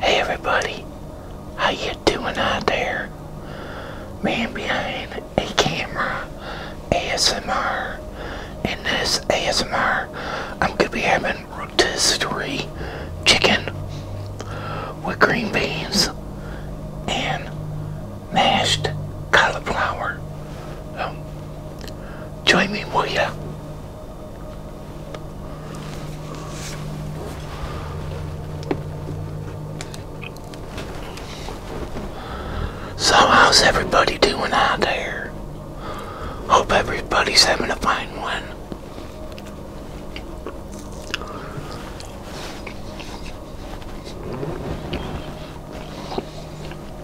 Hey everybody, how you doing out there? Man behind a camera, ASMR. In this ASMR, I'm gonna be having rotisserie chicken with green beans and mashed cauliflower. Um, join me, will ya? So how's everybody doing out there? Hope everybody's having a fine one.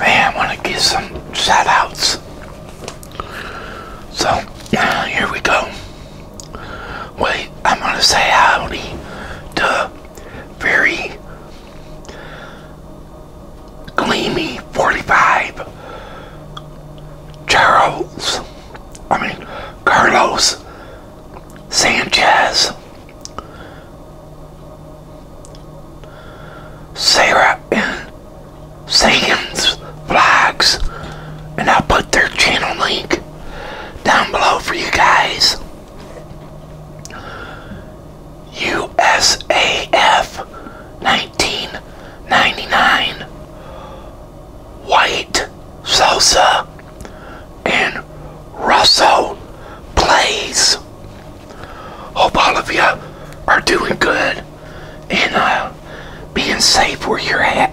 Hey, I want to give some shoutouts. So, here we go. Wait, I'm going to say howdy to very gleamy 45 Charles, I mean, Carlos Sanchez. Sarah and Sagan's vlogs, and I'll put their channel link down below for you guys. USAF 1999 White Sosa and Russell Plays. Hope all of you are doing good and uh, being safe where you're at.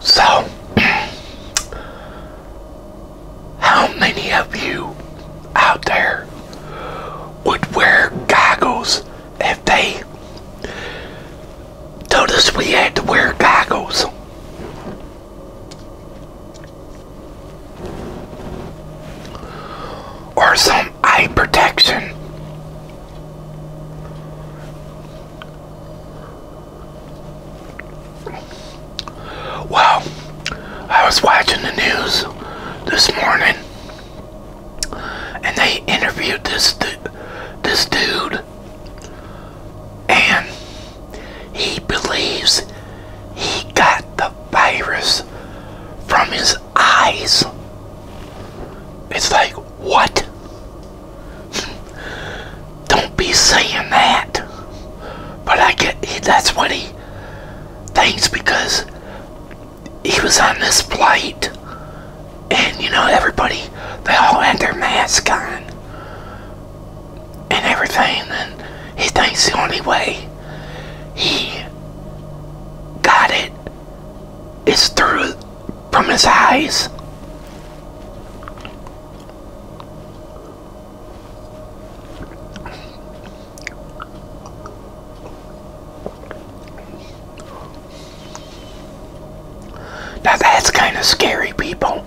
So, how many of you out there would wear goggles if they told us we had to wear goggles? Or something? eye protection. Well, I was watching the news this morning, and they interviewed this this dude, and he believes he got the virus from his eyes. It's like, what? Don't be saying that. But I get that's what he thinks because he was on this flight and you know everybody they all had their mask on and everything and he thinks the only way he got it it is through from his eyes. Now that's kind of scary, people.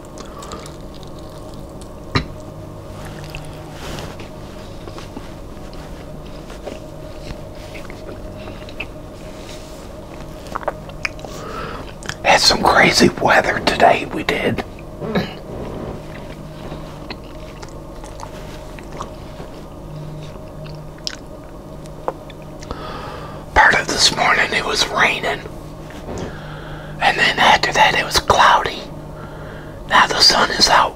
Had some crazy weather today, we did. Part of this morning it was raining. And then after that, it was cloudy. Now the sun is out.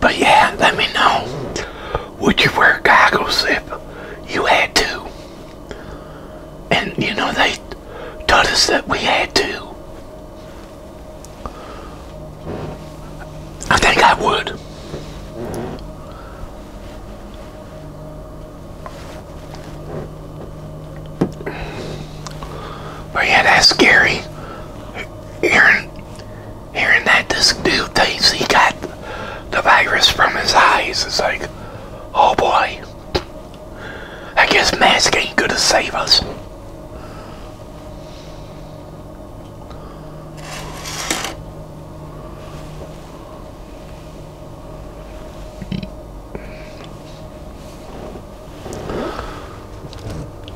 But yeah, let me know. Would you wear goggles if you had to? And you know, they taught us that we had to. I think I would. But yeah, that's scary. Hearing, hearing that this dude thinks he got the virus from his eyes it's like, oh boy. I guess mask ain't gonna save us.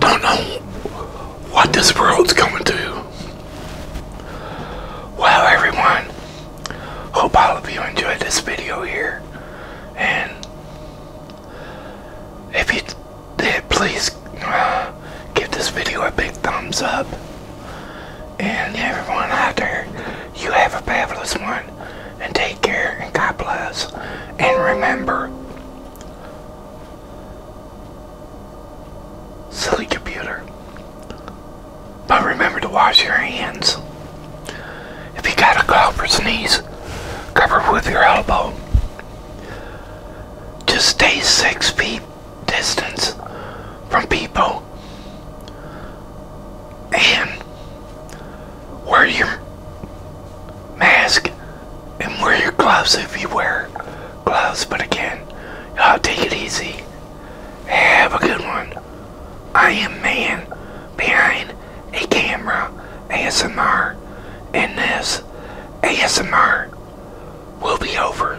Don't know what this world's coming to. Well, everyone, hope all of you enjoyed this video here. And if you did, please uh, give this video a big thumbs up. And everyone out there, you have a fabulous one. And take care and God bless. And remember, silly computer. But remember to wash your hands. If you got a cough or sneeze, cover with your elbow. Just stay six feet distance from people and wear your mask and wear your gloves if you wear gloves. But again, y'all take it easy. Have a good one. I am man behind a camera ASMR, and this ASMR will be over.